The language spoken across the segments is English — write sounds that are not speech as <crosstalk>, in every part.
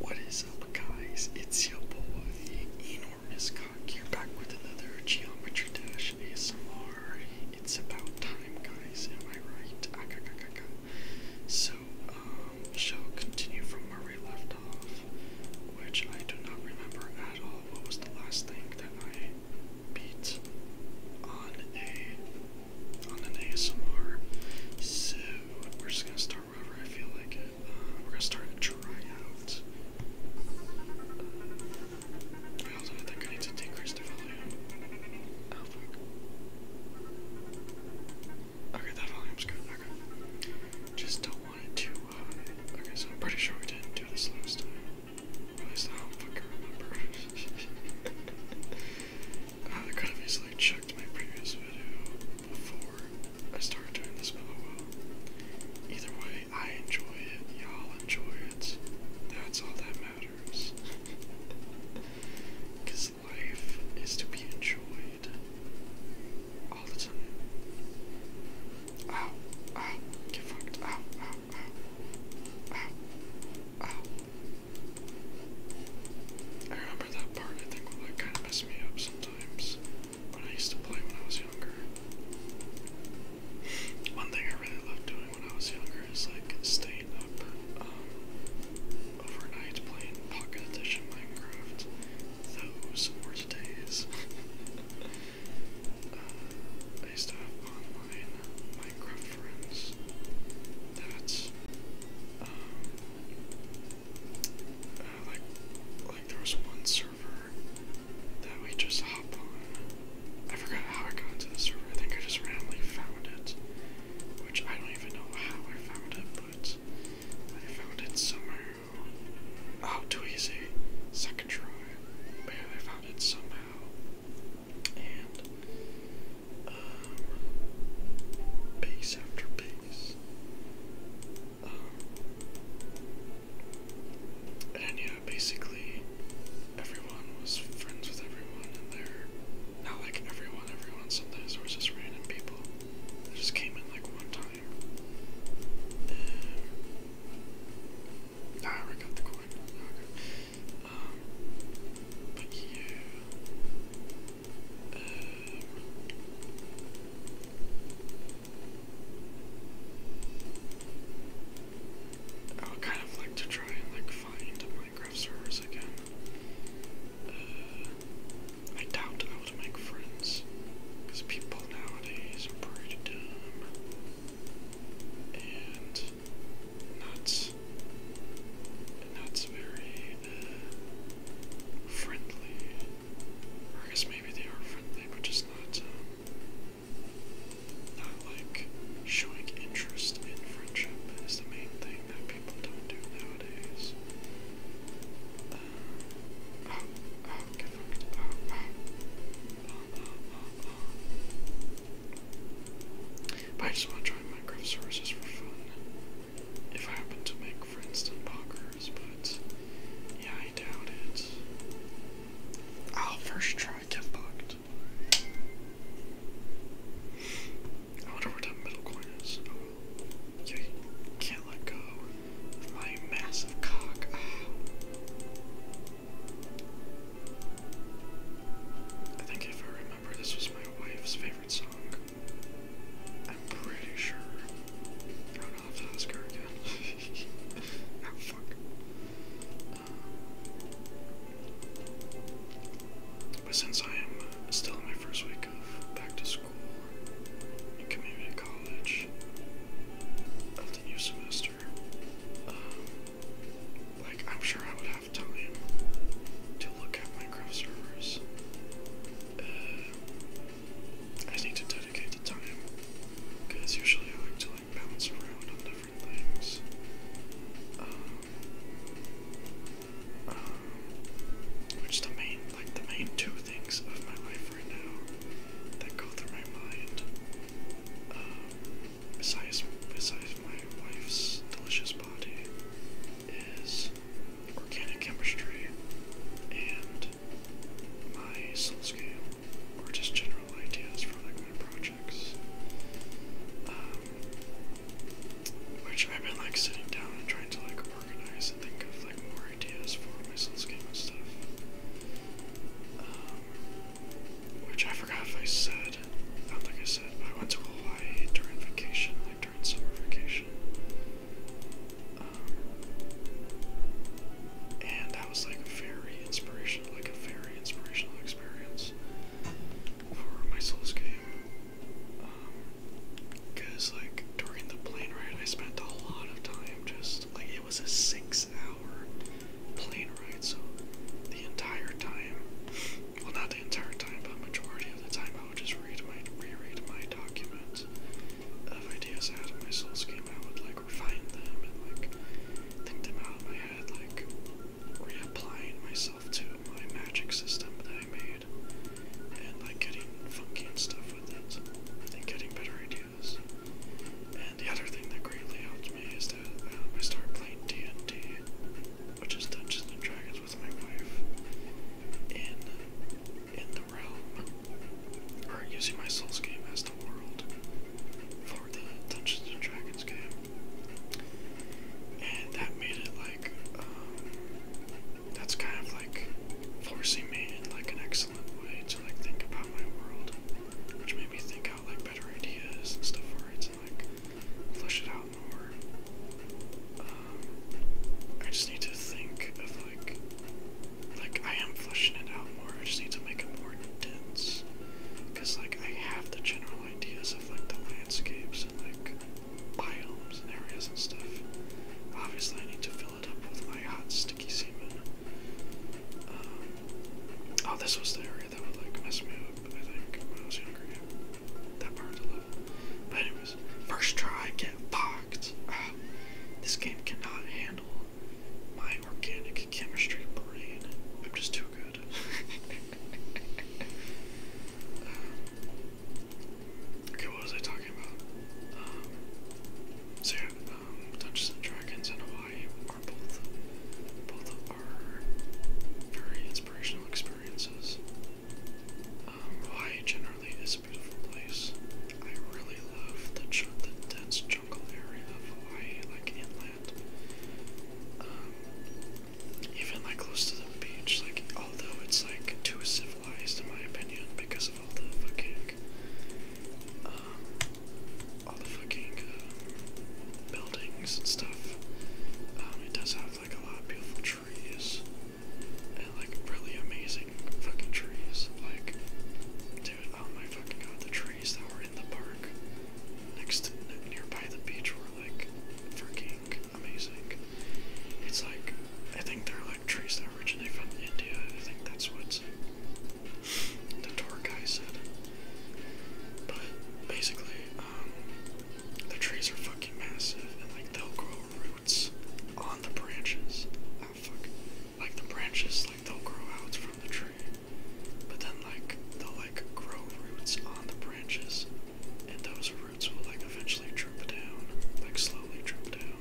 What is up guys, it's your boy, Enormous Cock are back with another Geometry Dash ASMR. It's about time guys, am I right? Ah, so, um, we shall continue from where we left off, which I do not remember at all. What was the last thing that I beat on a on an ASMR? So, we're just gonna start I feel like uh, we're gonna start a tryout. Uh, I also think I need to decrease the volume. Okay, that volume's good. Okay. Just don't want it too uh, Okay, so I'm pretty sure we didn't do this last time. At least I don't remember. <laughs> I could have easily checked my previous video before I started doing this, but Either way, I enjoy it, y'all enjoy it. That's all that matters. Because <laughs> life is to be enjoyed all the time. Ow, ow, get fucked, ow, ow, ow, I remember that part, I think, would kind of mess me up sometimes when I used to play when I was younger. One thing I really loved doing when I was younger is like staying up um, overnight playing Pocket Edition Minecraft. Those were today's. <laughs> Uh, I used to have online Minecraft friends that um, uh, like like there was one server that we just hop on. I forgot how I got into the server. I think I just randomly found it, which I don't even know how I found it, but I found it somehow. Oh, too easy. Second try. But I found it somehow. And um, after piece. Um, and yeah, basically everyone was friends with everyone, and they're not like everyone, everyone. Sometimes there was just random people that just came in like one time. And, ah, got the coin. Um, but yeah, Eh, I would kind of like to try and like find Minecraft servers again. Eh, I doubt I would make friends, because people nowadays are pretty dumb and not, not very friendly. I guess maybe they are friendly, but just not, um, not like showing interest in friendship is the main thing that people don't do nowadays. Uh, oh, oh, oh, But I just want to join Minecraft servers just for fun if I happen to make friends Princeton Pockers, but yeah, I doubt it. I'll first try get bucked. I wonder where that middle coin is. Oh, can't let go of my massive cock. Oh. I think if I remember this was my wife's favorite song. I'm pretty sure. I don't have again. oh <laughs> fuck. Um, but since I am uh, still in my first week of back to school and community college of the new semester, um, like I'm sure I would have time to look at my Minecraft servers. Uh, I need to dedicate the time because usually I like to like bounce around on different things. Um, um, which the main, like the main two things of my life right now that go through my mind, um, besides besides my wife's delicious body, is organic chemistry, and my soul scale, or just general ideas for like my projects. Um, which I've been like sitting down and trying to like organize and think of like more ideas for my soul scale and stuff. Um, which I forgot if I said. I think I said, I went to Hawaii during vacation like during summer vacation. Um, and that was like very inspirational, like a very inspirational experience for my Souls game. Um, Cause like during the plane ride, I spent a lot of time just like it was a six-hour plane ride, so the entire time well, not the entire time, but majority of the time, I would just read my reread my document of ideas I had my Souls game. out with, like refine them and like think them out of my head, like reapplying myself to my magic system that I made, and like getting funky and stuff with it, and getting better ideas. And the other thing that greatly helped me is that um, I start playing D&D, which is Dungeons and Dragons marriage with my wife in in the realm or using my Souls game as the world for the Dungeons and Dragons game. And that made it like um that's kind of like forcing me in like an excellent way to like think about my world. Which made me think out like better ideas and stuff for it to like flush it out more. Um, I just need to think of like, like I am flushing it out more. I just need to make it more intense. cause like I have the general ideas of like the landscapes and like biomes and areas and stuff. Obviously, I need to fill it up with my hot sticky semen. Um, oh, this was the area that would like mess me up. I think when I was younger that part of the But anyways, first try, get fucked. Ah, this game cannot handle my organic chemistry brain. I'm just too good. <laughs> Um, okay, what was I talking about? Um, so yeah, um, Dungeons and Dragons and Hawaii are both both are very inspirational experiences. Hawaii generally is a beautiful place. I really love the, dense jungle area of Hawaii, like inland. Um, even like close to the beach, like although it's like too civilized in my opinion because of all the fucking, um, all the fucking uh, buildings and stuff. Um, it does have like a lot of beautiful trees like really amazing fucking trees. Like, dude, oh my fucking god, the trees that were in the park next nearby the beach were like freaking amazing. It's like I think they're like trees that originate from India. I think that's what the tour guy said. But basically, um, the trees are fucking massive and like they'll grow roots on the branches. Ah, like the branches, like they'll grow out from the tree. But then like they'll like grow roots on the branches. And those roots will like eventually drip down, like slowly drip down.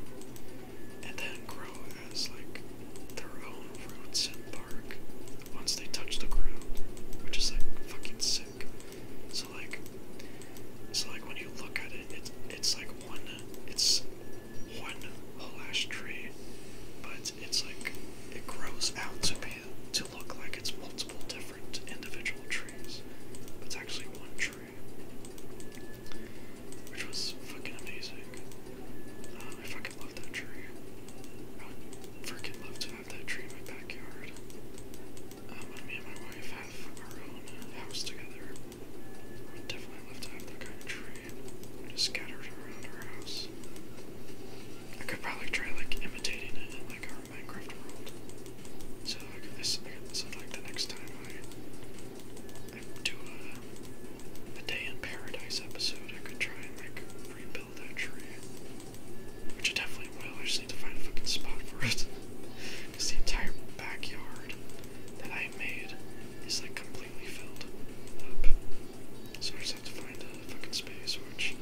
And then grow as like their own roots and bark once they touch the ground. Which is like fucking sick back. So like, so like when you look at it, it's it's like one, it's one whole ash tree, but it's like it grows out to be to look like it's multiple different individual trees. But it's actually one tree, which was fucking amazing. Um, I fucking love that tree. I would freaking love to have that tree in my backyard. Um, me and my wife have our own house together. We definitely love to that kind of tree just scattered around our house. I could probably try like imitating it in like our Minecraft world. So like this, so like the next time I, I do a, a day in paradise episode, I could try and like rebuild that tree. Which I definitely will. I just need to find a fucking spot for it. Because <laughs> the entire backyard that I made is like completely filled up. So I just have to find a fucking space, which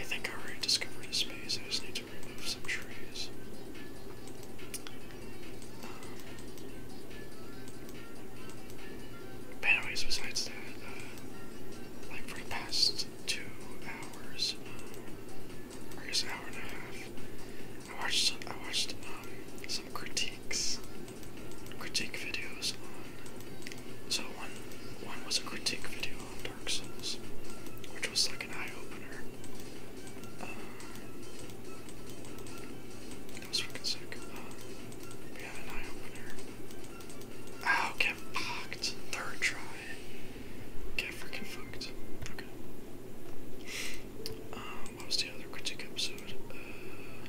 I think I already discovered a space. I just need to remove some trees. Um, anyways, besides that, uh, like for the past two hours, um, I guess an hour and a half. I watched I watched um, some critiques, critique videos on. So one one was a critique video on Dark Souls, which was like an eye opener. Um, that was freaking sick. Um, yeah, an eye opener. Ow, get pocked. Third try get freaking fucked. Okay. Uh, what was the other critique episode? Uh,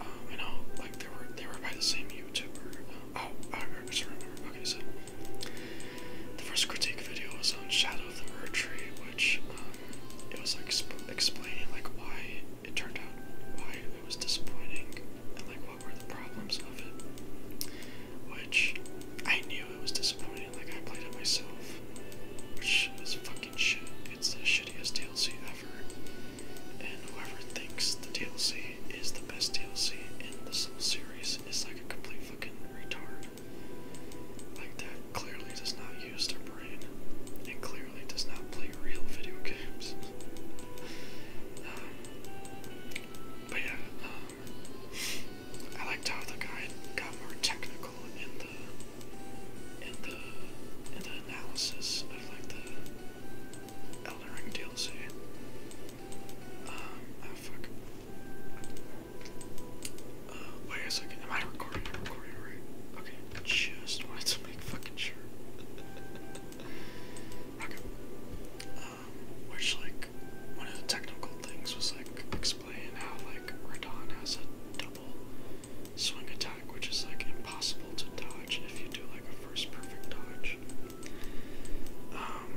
um, I know, like they were they were by the same YouTuber. oh, I remember. Okay, so the first critique video was on Shadow of the Murder Tree, which um, it was like explaining like why it turned out, why it was disappointing, and like were the problems of it. Which I knew it was disappointing, like I played it myself. Which is fucking shit. It's the shittiest DLC ever. And whoever thinks the DLC is the best DLC in the series is like a complete fucking retard. Like that clearly does not use their brain and clearly does not play real video games but yeah, um, I liked how the guy got more technical in the in the in the analysis of like the Elden Ring DLC. Um, ah, fuck. Uh, wait a second. Am I recording? recording right. Okay, just wanted to make fucking sure. <laughs> okay. Uh, which like one of the technical things was like explain how like Radon has a double swing attack, which is like impossible to dodge if you do like a first perfect dodge. Um,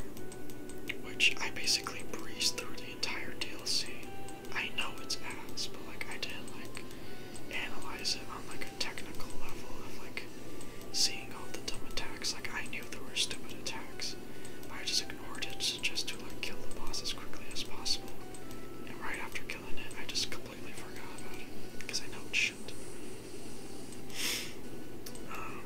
which I basically breezed through the entire DLC. I know it's ass, but like I didn't like analyze it on like a technical level of like seeing all the dumb attacks. Like I knew there were stupid attacks. I just ignored it just to like kill the boss as quickly as possible. And right after killing it, I just completely forgot about it. Because I know it should um,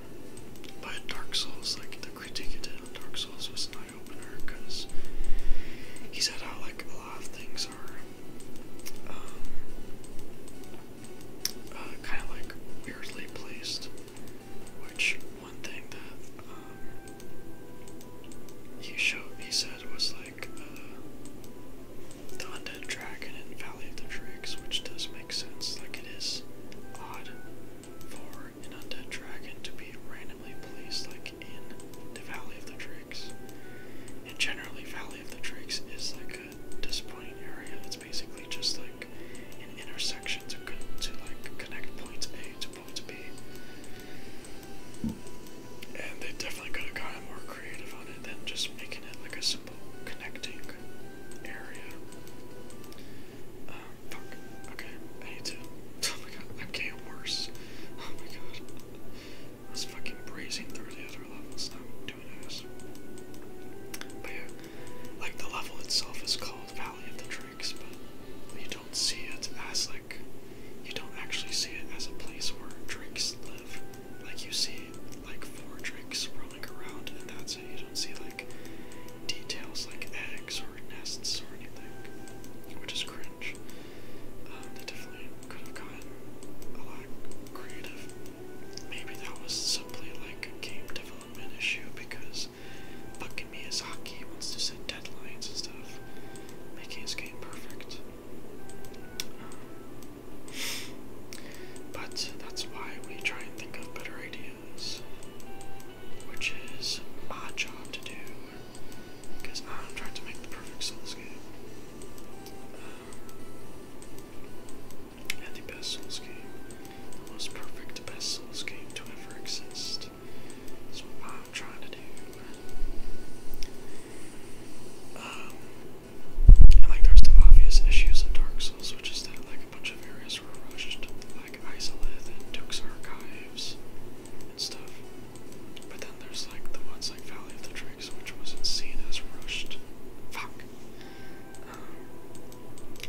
but Dark Souls, like the critique it did on Dark Souls was an eye-opener because he said how like a lot of things are um, uh, kind of like weirdly placed. Which one thing that um, he showed, he said was like uh, undead dragon in Valley of the Drakes, which does make sense. Like it is odd for an undead dragon to be randomly placed, like in the Valley of the Drakes. And generally, Valley of the Drakes is like a disappointing area basically just like an intersection to to like connect point A to point B. And they definitely could have gotten more creative on it than just making it like a simple connecting area. Um, fuck. Okay, I need to. <laughs> Oh my god, I'm getting worse. Oh my god. I was fucking breezing through the other levels but yeah, like the level itself is called Valley of the Drakes, but you don't see it as like you don't actually see it as a place where drakes live. Like you see like four drakes roaming around, and that's it. You don't see like details like eggs or nests or anything, which is cringe. Uh, they definitely could have gotten a lot creative Maybe that was simply like a game development issue because fucking Miyazaki wants to set deadlines and stuff, making his game perfect. Um, but that's why we try and think of better ideas, which is my job to do because I'm trying to make the perfect Souls game. Um, and the best Souls game, the most perfect best Souls game to ever exist. That's I'm trying to do. Um, like there's the obvious issues in Dark Souls, which is that like a bunch of areas were rushed, like Isolith and Duke's Archives and stuff. But then there's like the ones like Valley of the Drakes, which wasn't seen as rushed. Fuck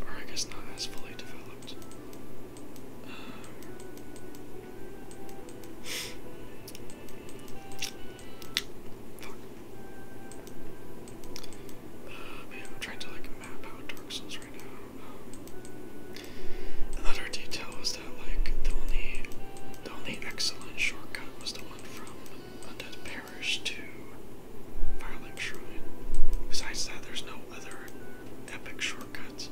or I guess not as fully developed. Uh, fuck. Uh, man, I'm trying to like map out Dark Souls right now. Um, another detail was that like the only, the only excellent shortcut was the one from Undead Paradise to Firelink Shrine. Besides that, there's no other epic shortcuts,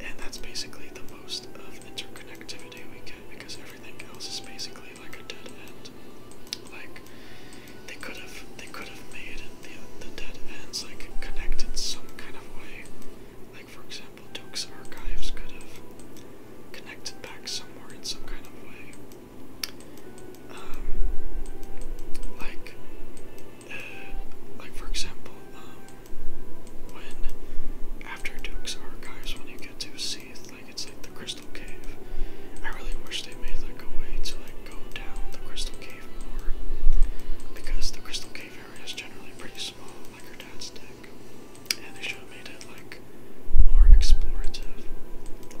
and that's basically the most of interconnectivity we get because everything else is basically like a dead end. Like they could have they could have made the the dead ends like connected some kind of way. Like for example, Duke's archives could have connected back somewhere in some kind of way. Um, like, uh, like for example, um, when after Duke's Archives, when you get to Seath, like it's like the Crystal Cave. I really wish they made like a way to like go down the Crystal Cave more, because the Crystal Cave area is generally pretty small, like your dad's deck, and they should have made it like more explorative,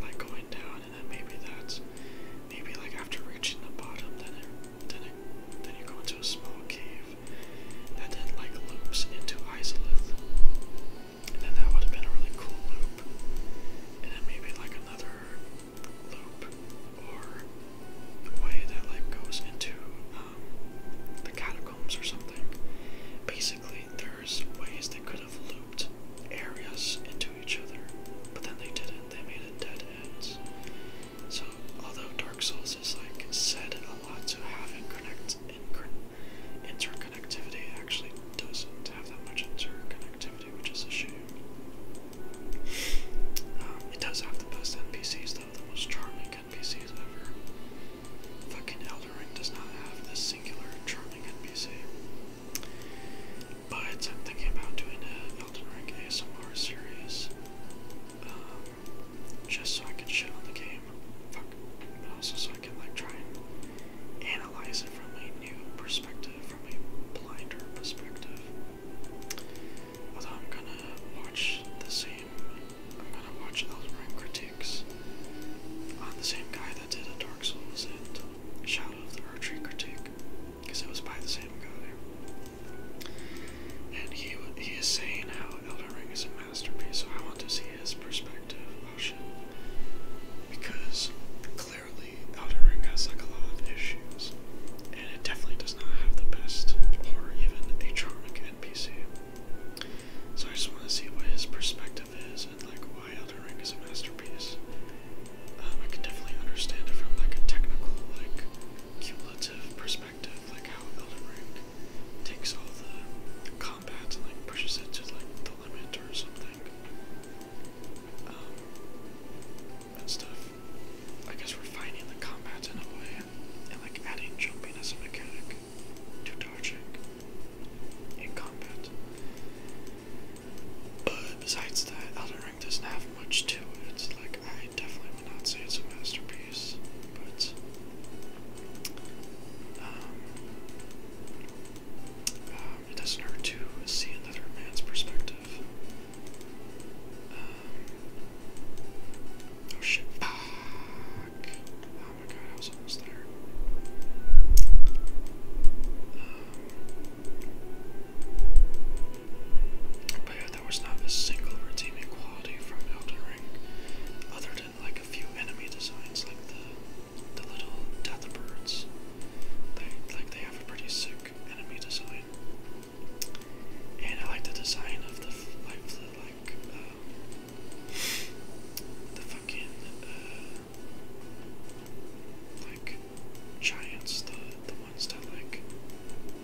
like going down then maybe that's maybe like after reaching the bottom, then it then it then you go into a small cave that then like loops into Isolith, and then that would have been a really cool loop, and then maybe like another loop or way that like goes into um, the catacombs or something. Basically, there's ways that could could looped areas into each other, but then they didn't. They made it dead ends. So, although Dark Souls is like said a lot to have interconnect, interconnectivity, actually doesn't have that much interconnectivity, which is a shame. Um, it does have the best NPCs, though, the most charming NPCs ever. Fucking Elder Ring does not have this singular charming NPC. But I'm thinking about doing an Elden Ring ASMR series. Um, just so I can shit on the game. Fuck. And also so I can like try and analyze it from a new perspective, from a blinder perspective. But I'm gonna watch the same I'm gonna watch Elden Ring critiques I'm the same guy that did a Dark Souls and Shadow of the Archery Critique, because it was by the same guy. And he he is saying how Elden Ring is a masterpiece, so I want to see his perspective. Because clearly Elden Ring has like a lot of issues, and it definitely does not have the best or even the charming NPC. So I just want to see what his perspective is like, why Elden Ring is a masterpiece. Um, I can definitely understand it from like a technical, like cumulative perspective, like how Elden Ring takes all the combats and like pushes it to like the limit or something. Um, and stuff. I guess refining the combats in a way and like adding jumping as a mechanic to dodging in combat. But besides that, Elden Ring doesn't have much to it. Like, I definitely would not say it's a masterpiece, but. Um, um, it doesn't hurt to see another man's perspective. Um, oh shit, I there. was not a single redeeming quality from Elden Ring, other than like a few enemy designs, like the the little death birds. They like they have a pretty sick enemy design, and I like the design of the like the like uh, the fucking. Uh, like giants, the the ones that like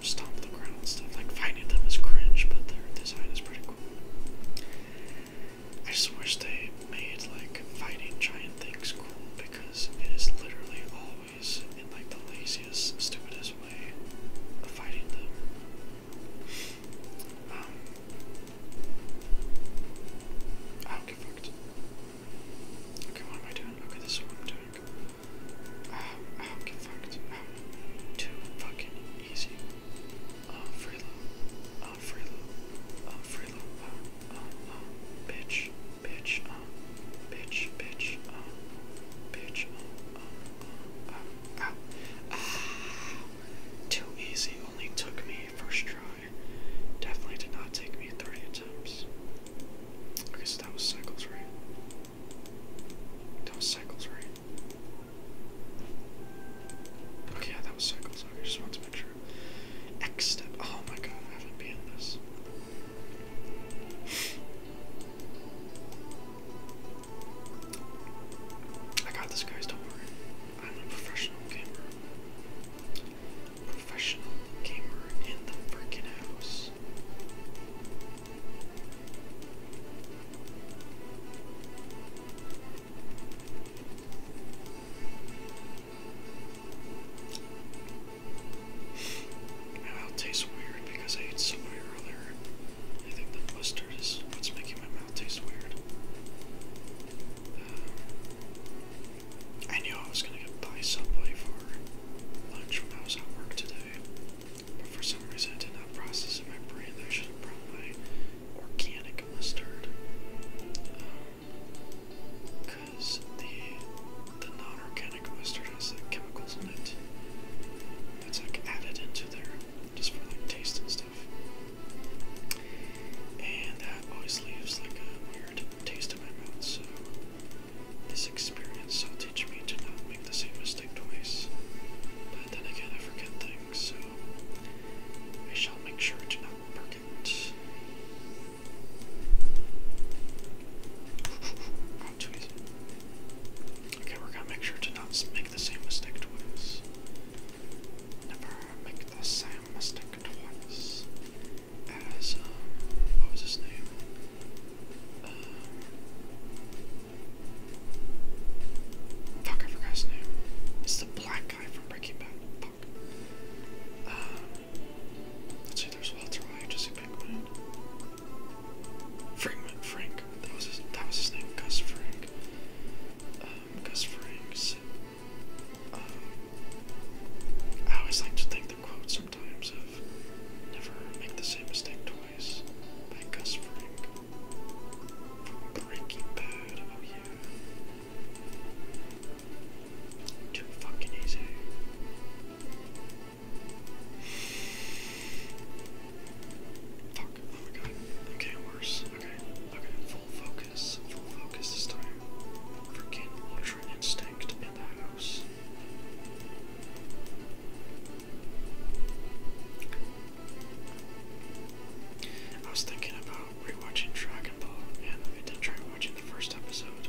stomp the ground stuff. Like fighting them is cringe, but their design is pretty cool. I just wish they made like fighting giant things cool because it is literally always in like the laziest, stupidest way of fighting them. Um, Okay, what am I doing? Okay, this is what I'm doing. Uh, ow, get fucked. Ow. Too fucking easy. Uh, freeload. Uh, freeload. Uh, freeload. Uh, uh, uh, bitch. Bitch. Uh, bitch. Bitch. Uh, bitch. Uh, uh, uh, ow. Uh, ow. Ah. Uh. Too easy. Only took me first try. Definitely did not take me 30 attempts. Okay, so that was cycles, right? That was cycles, right? Okay, that was cycles. Okay, just want to make sure. X step. Oh my god, I haven't been in this. I got this, guys. Don't worry. I'm a professional gamer. Professional gamer in the freaking house. my mouth tastes weird because I ate somewhere earlier. I think the mustard is what's making my mouth taste weird. I knew I was gonna get buy Subway for lunch when I was at work today, but for some reason I did not process in my brain that I should have brought my organic mustard. Um, Cause the the non-organic mustard has chemicals in it. That's like added into there just for like taste and stuff. And that always leaves like a weird taste in my mouth, so this experience will teach me to not make the same mistake twice. But then again, I forget things, so I shall make sure to not perk <laughs> Okay, we're gonna make sure to not make the same mistake twice. Never make the same mistake good As, um, what was his name? fuck, I forgot his name. It's the black guy from Breaking Bad. Fuck. let's see, there's Walter White, Jesse Pinkman. Frankman, Frank. That was his, that was his name, Gus Frank. Um, Gus Frank, I always like to think the quote sometimes of never make the same mistake twice by Gus Frank from Bad. Oh yeah, too fucking easy. Fuck, oh my god, i worse. Okay, okay, full focus, full focus this time. Freaking ultra instinct in the house. I was thinking about rewatching Dragon Ball, and I did try watching the first episode,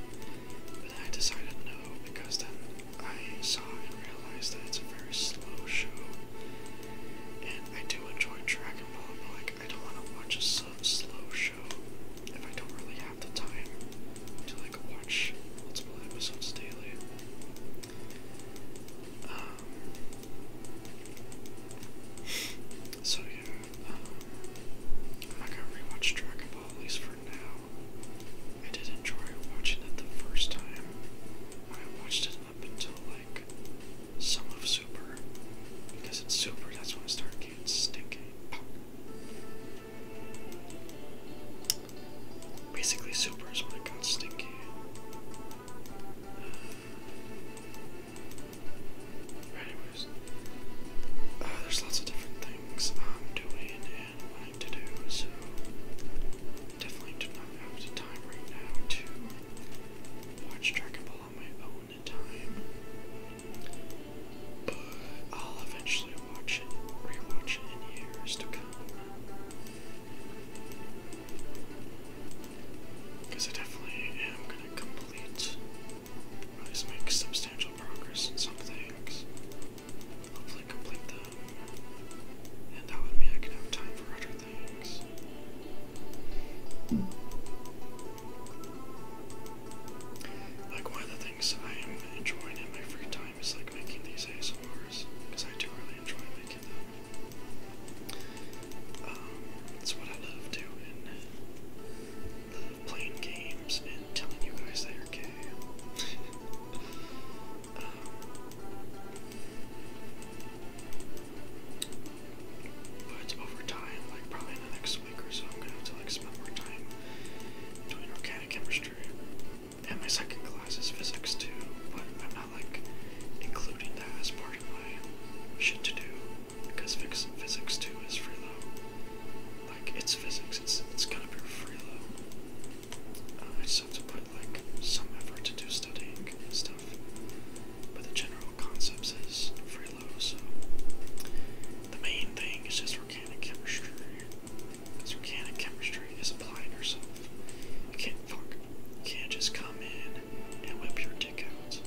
but then I decided no because then I saw and realized that it's a very slow show, and I do enjoy Dragon Ball, like I don't want to watch a sub slow show if I don't really have the time to like watch multiple episodes daily. Um, so yeah, um, I'm not gonna rewatch Dragon Ball at least for now. I did enjoy watching it the first time. I watched it up until like some of Super, because it's Super, that's when Stargate's stinky. Basically, Super is when I get stinky. Anyways, uh, there's lots of different things I'm doing and wanting to do, so definitely do not have the time right now to watch Dragon Ball on my own. But I'll eventually watch it, rewatch it in years to come. Because I definitely am going to complete, at least make substantial progress in some things. Hopefully complete them. And that would mean I can have time for other like one of the things I am enjoying in my free time is like making these ASMRs, because I do really enjoy making them. Um, it's what I love doing. Love playing games and telling you guys that you're gay. <laughs> Um, but over time, like probably in the next week or so, I'm gonna have to like spend more time doing organic chemistry. And my second class is physics too, but I'm not like including that as part of my shit to do because physics too is free freeload. Like it's physics, it's it's gonna be freeload. Uh, I just have to put like some effort to do studying and stuff. But the general Concepts is as Frelo, so the main thing is just organic chemistry. Because organic chemistry is applying yourself. You can't fuck. You can't just come in and whip your dick out.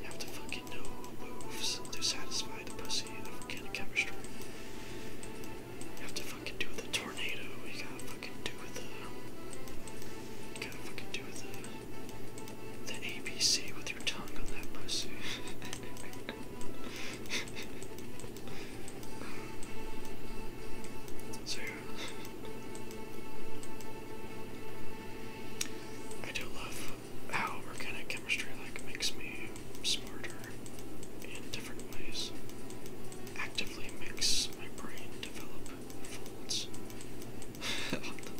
You have to fucking know moves to satisfy the pussy of organic chemistry. You have to fucking do with the tornado, you gotta fucking do the you gotta fucking do the the ABC with your tongue on that pussy. <laughs> so I do love how organic chemistry like makes me smarter in different ways. Actively makes my brain develop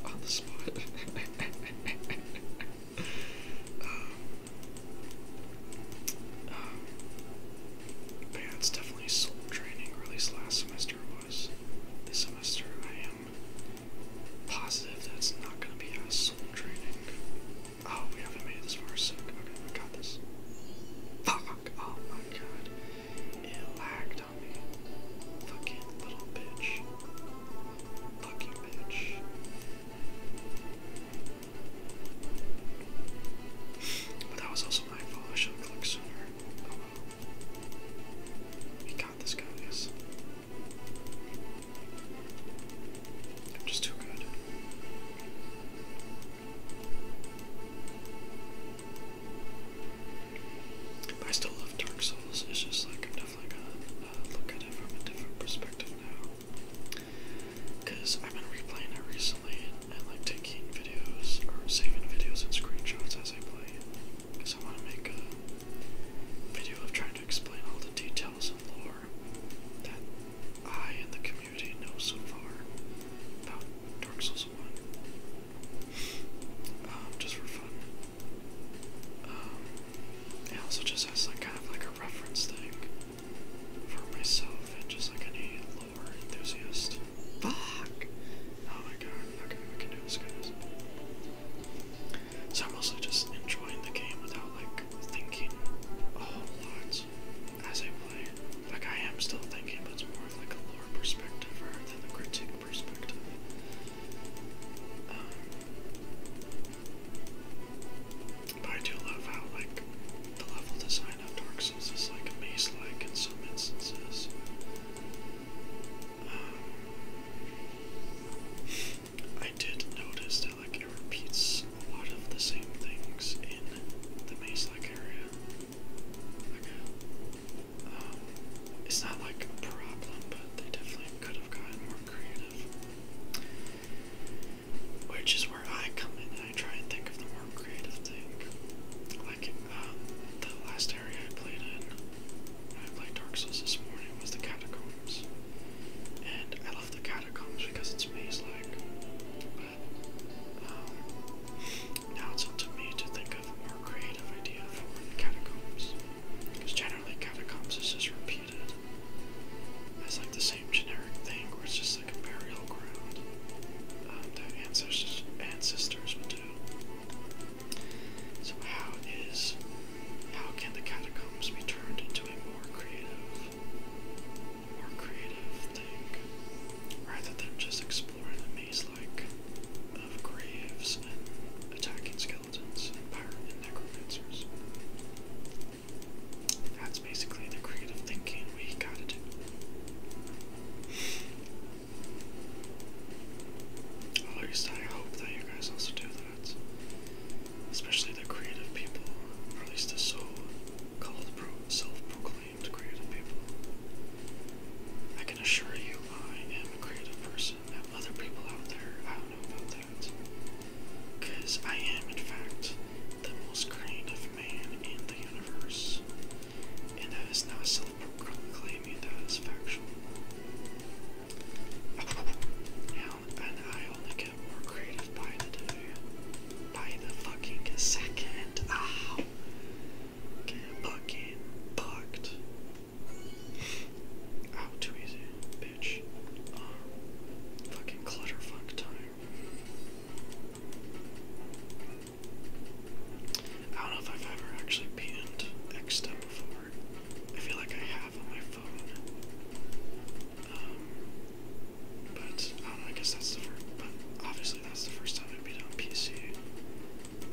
on, the, spot. yeah, <laughs> <laughs> um, um, it's definitely soul training, or at least last semester was. This semester, I am positive that it's not going to be a soul training. Oh, we haven't made it this far, so okay, I got this. Fuck! Oh my god. It lagged on me. Fucking little bitch. Fucking bitch. But that was also my fault. I should have clicked sooner. Oh well. He this guy, I I'm just too good. I still love Dark Souls. It's just like I'm definitely gonna uh, look at it from a different perspective now. Cause I've been replaying it recently and, like taking videos or saving videos and screenshots as I play it. Cause I want to make a video of trying to explain all the details and lore that I and the community know so far about Dark Souls One. Um, just for fun. Um, it also just has like kind of like a reference thing for myself and just like any lore enthusiast. Fuck! Oh my god, okay, we can do this guys. So I'm also just enjoying the game without like thinking a whole lot as I play. Like I am still thinking, but it's more of like a lore perspective rather than the critique um, but I do love how, like, the level design of Dark Souls is, like, maze-like in some instances. Um, I did notice that, like, it repeats a lot of the same things in the maze-like area. Um, it's not like a problem, but they definitely could have gotten more creative. Which is where I come in and I try and think of the more creative thing. Like, um, the last area I played in, I played Dark Souls this morning, was the Catacombs. And I love the Catacombs because it's maze like. But, um, now it's up to me to think of more creative idea for catacombs. generally catacombs is just repeated. It's like the same generic thing where it's just like a burial ground um, that ancestors ancestors would do. So how is how can the catacombs be turned into a more creative more creative thing rather than just exploring the maze things like of graves and attacking skeletons and pirate necromancers. That's basically the creative thinking we gotta do. I hope that you guys also do that. Especially the creative people, or at least the so called pro self proclaimed creative people. I can assure you I am a creative person. And other people out there, I don't know about that. Because I am, in fact, the most creative man in the universe. And that is not self proclaiming, that is factual. Oh, and I only get more creative by the day. By the fucking second. Ow! Ah! Get fucking bucked. Oh, too easy, bitch. Uh, fucking clutterfuck time. I don't know if I've ever actually panned Xstep before. I feel like I have on my phone. Um, but I guess that's the first, but obviously that's the first time I beat it on PC.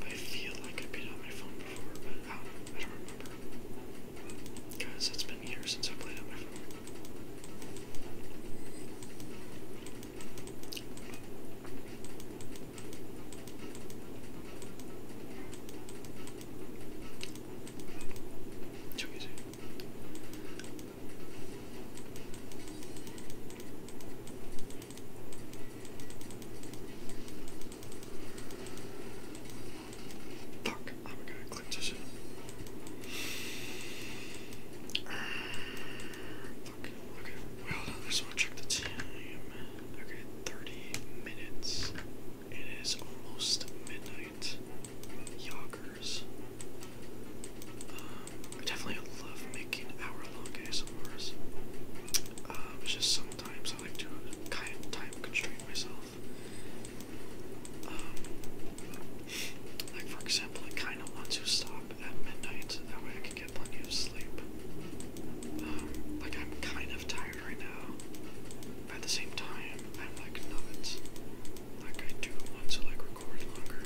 I feel like I've on my phone before, but I don't, remember. Guys, it's been years since I played on my phone. Too easy. Fuck, I'm gonna click this fuck, okay, well, there's one check the time. Okay, 30 minutes. It is almost midnight. Yoggers. Um, definitely love making hour long ASMRs. Um, it's just so sometimes. I like to kind of time constrain myself. Um, like, for example, I kind of want to stop at midnight, that way I can get plenty of sleep. Um, like, I'm kind of tired right now, at the same time, I'm like not. Like, I do want to like record longer,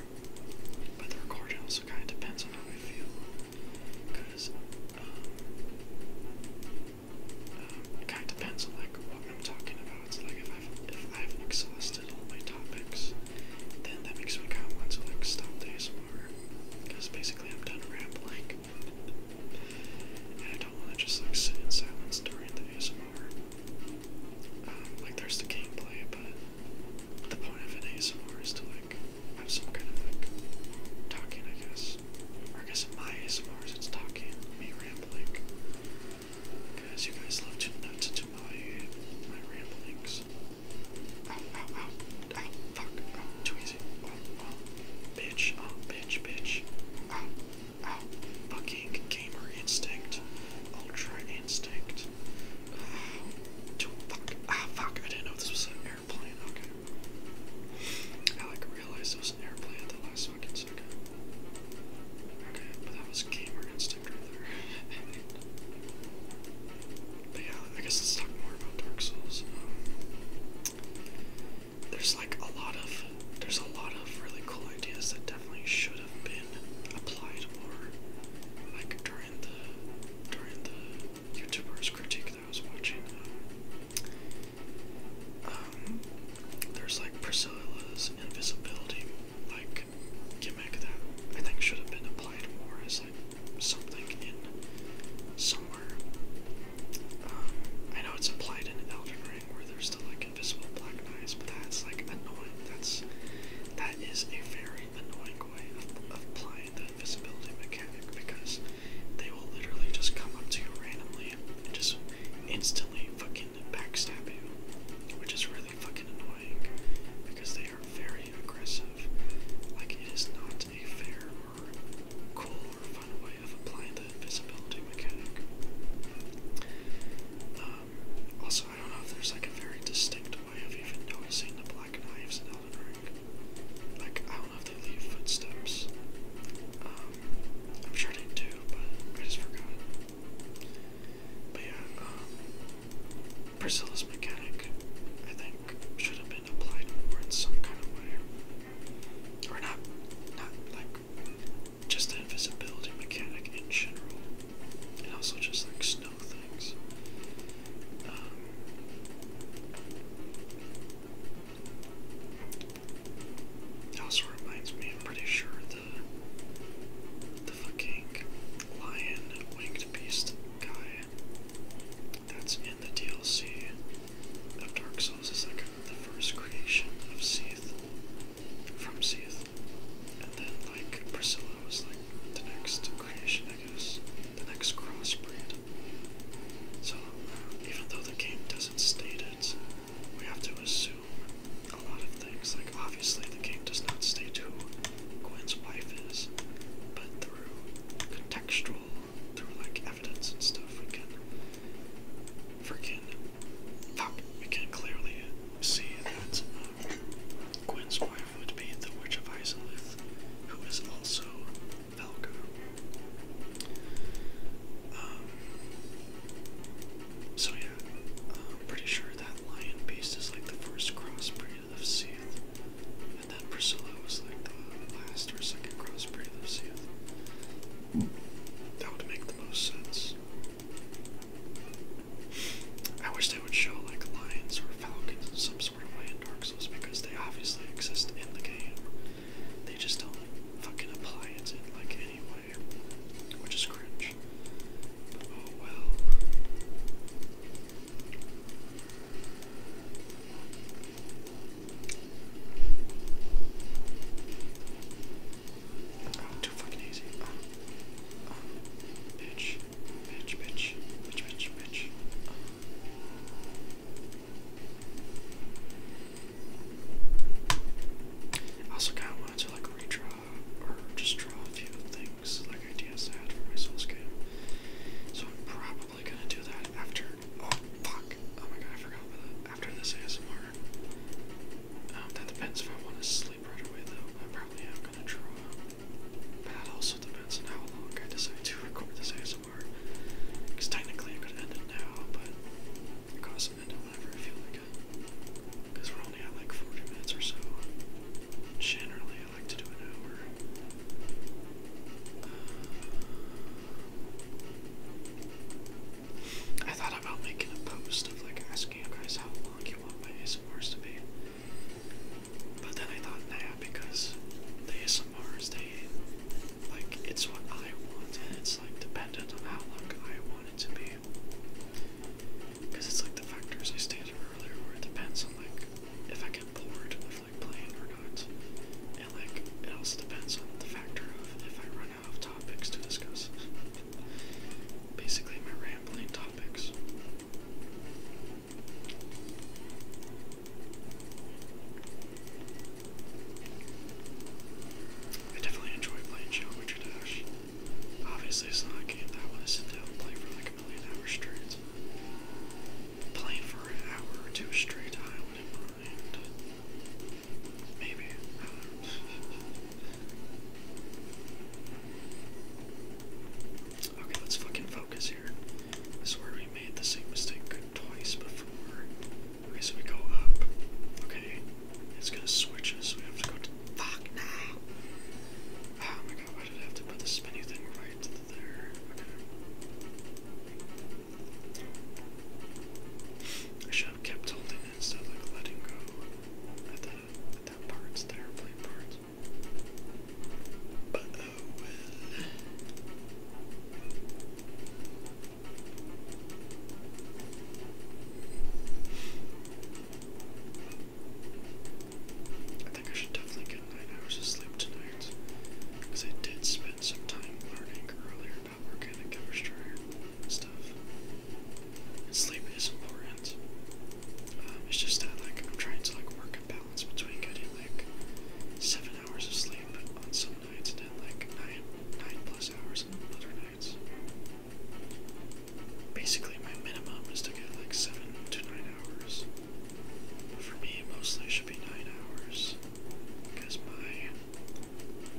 but the recording also kind of depends on how I feel because uh, it kind of depends on like what I'm talking about. So, like if I've exhausted all my topics, then that makes me kind want to like stop days more. because basically I'm done rambling, and I don't want to just like sit in silence during the ASMR. Um, like there's the gameplay, but the point of an ASMR is to like i some kind of like talking, I guess. I guess in my ASMR it's talking, me rambling. Because you guys love to nuts into my my ramblings. Ow, ow, ow, ow, fuck, too easy. Oh, oh, bitch, oh, bitch, bitch. Ow, ow, fucking gamer instinct. Ultra instinct. too fuck, ah, fuck, I didn't know this was airplane, okay. I like realized it was an airplane the last fucking second. Okay, but that was gamer instinct right there. <laughs> but yeah, I guess let's talk more about Dark Souls. Um, there's like a lot of there's a lot of really cool ideas that definitely should have been applied more like during the during the YouTuber's critique that I was watching. Um, there's like Priscilla's invisibility, like gimmick that I think should have been applied more as like something in somewhere. Um, I know it's applied in Elden Ring where there's still like invisible black knives, but that's like annoying. That's that is a very annoying way of, applying the invisibility mechanic because they will literally just come up to you randomly and just instantly fucking backstab you, which is really fucking annoying because they are very aggressive. Like, it is not a fair or cool or fun way of applying the invisibility mechanic. Um, also, I don't know if there's like a very distinct way of even noticing the black knives in Elden Ring. Like, I don't know if they leave footsteps. Um, I'm sure they do, but I just forgot. But yeah, um, Priscilla's mechanic, I think, should have been applied more in some kind of way. Or not, not like, just the invisibility mechanic in general. And also just like snow things it also reminds me, I'm pretty sure, the, the fucking lion winged beast guy that's in the DLC of Dark Souls is like the first creation of Seath, from Seath. And then, like, Priscilla was like the next creation, I guess, the next crossbreed. So, even though the game doesn't state it, we have to assume a lot of things. Like, obviously, the game does not state who Gwen's wife is, but through contextual, through like evidence and stuff, we can we can clearly see that uh, Gwen's wife would be the Witch of Isilith, who is also Falco. Um, so yeah, I'm pretty sure that lion beast is like the first crossbreed of Seath, and then Priscilla was like the last or second crossbreed of Seath. That would make the most sense. I wish they would show like lions or found some sort of way in Dark Souls because they obviously exist in the game. They just don't fucking apply it in like any way, which is cringe. oh well. too fucking easy. Um, um, bitch. Bitch, bitch, bitch, bitch, bitch. I also kind of wanted to like redraw or just draw a few things, like ideas I had for my Souls game. So I'm probably gonna do that after. Oh fuck! Oh my god, I forgot about that. After this ASMR. Um, that depends if I want to sleep right away though. I probably am gonna draw. But that also depends on how long I decide to record this ASMR. Because technically I could end it now, but it costs end it whenever I feel like it. Because we're only at like 40 minutes or so. Generally, I like to do an hour. Uh, I thought about making a post of like asking you guys how long you want my ASMRs to be. But then I thought, nah, because the ASMRs, they, like, it's what I want, and it's, like, dependent on how long I want it to be. Because it's, like, the factors I stated earlier, where it depends on, like, if I get bored of, like, playing or not. And, like, it also depends on the factor of if I run out of topics to discuss. <laughs> Basically, my rambling topics. I definitely enjoy playing Geometry Dash. Obviously, it's not a game that I want to sit down and play for like a million hours straight. Playing for an hour or two straight, I wouldn't mind. Maybe. Okay, let's fucking focus here. This is where we made the same mistake twice before. Okay, we go up. Okay, it's gonna switch us. We have to go to. Fuck now! Oh my god, I have to put the spinny thing right there? I should have kept holding instead of letting go at that at that part. I think I should definitely get nine hours of sleep tonight. Because I did spend some time learning earlier about organic chemistry and stuff. sleep is important. Um, it's just that like I'm trying to like work it balance balance between getting like seven hours of sleep on some nights and then like nine nine plus hours on other nights. Basically my minimum is to get like seven to nine hours. But for me mostly it should be nine hours. Because my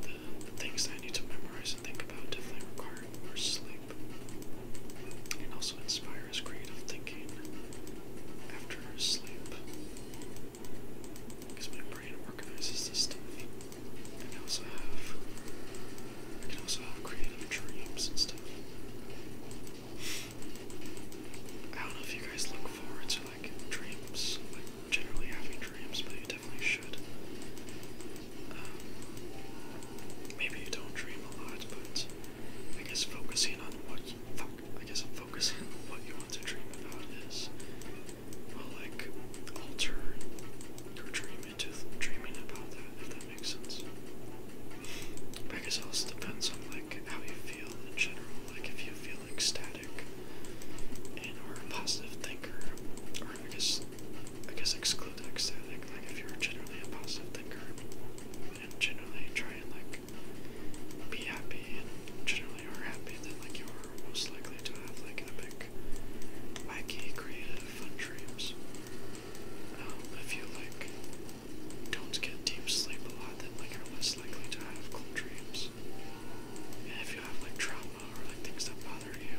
the, the things that I need to memorize and think about definitely require more sleep. And also also inspires creative thinking after sleep. Because my brain organizes this stuff. I also have I can also have creative dreams and stuff. I don't know if you guys look forward to like dreams, like generally having dreams, but you definitely should. Um, maybe you don't dream a lot, but I guess focusing on what I guess I'm focusing on what you want to dream about is, well, like, alter your dream into dreaming about that, if that makes sense. But I guess it also depends on, like, how you feel in general. Like, if you feel ecstatic and are a positive thinker, or I guess, I guess exclude ecstatic, like, if you're generally a positive thinker and generally try and like be happy and generally are happy, then like you are most likely to have like epic, wacky, creative, fun dreams. Um, if you like don't get deep sleep a lot, then like you're less likely to have cool dreams. And if you have like trauma or like things that bother you,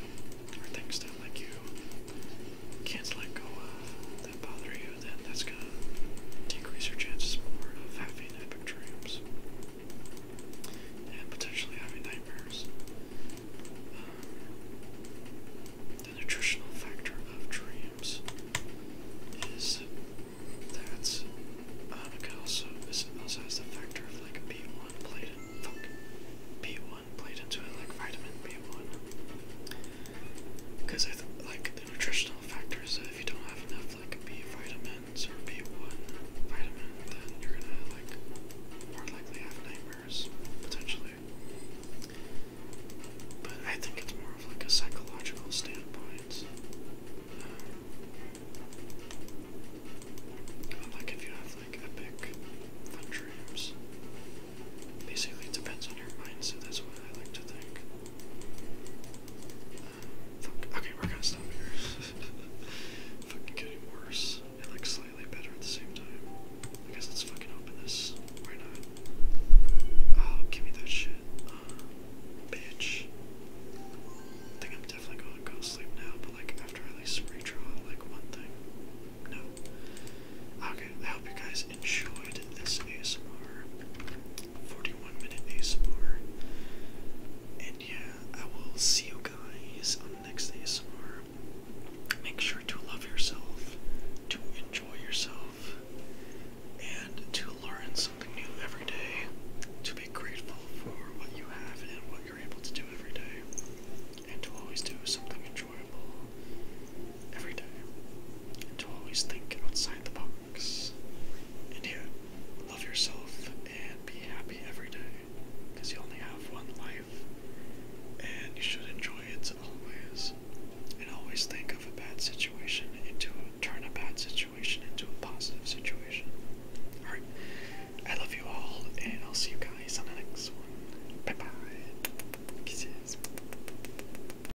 or things that like you can't let go of that bother you, then that's gonna decrease your chances more of having epic dreams and potentially having nightmares. Uh, the nutritional factor of dreams is that's um, uh, it can also this also has the factor of like B one played B one played into it like vitamin B one because I th like the nutritional factors. If you don't have enough like B vitamins or B1 vitamin, then you're gonna like more likely have nightmares potentially. But I think it's more of like a psychological standpoint. Um, like if you have like epic dreams, basically it depends on your mind. So That's what I like to think. Okay, we're gonna stop here. <laughs> fucking getting worse and like slightly better at the same time. I guess let's fucking open this. Why not? Oh, give me that shit. Uh, bitch. I think I'm definitely going to go to sleep now, but like after I at least redraw like one thing. No. Okay, I hope you guys enjoyed this ASMR, 41 minute ASMR, and yeah, I will see you guys on the next ASMR. Make sure to love yourself, to enjoy yourself, and to learn something new every day, to be grateful for what you have and what you're able to do every day, and to always do something enjoyable every day, and to always think outside the box. And yeah, love yourself and be happy every day because you only have one life and you should enjoy it always. And always think of a bad situation into a turn a bad situation into a positive situation. Alright, I love you all, and I'll see you guys on the next one. Bye bye. Kisses.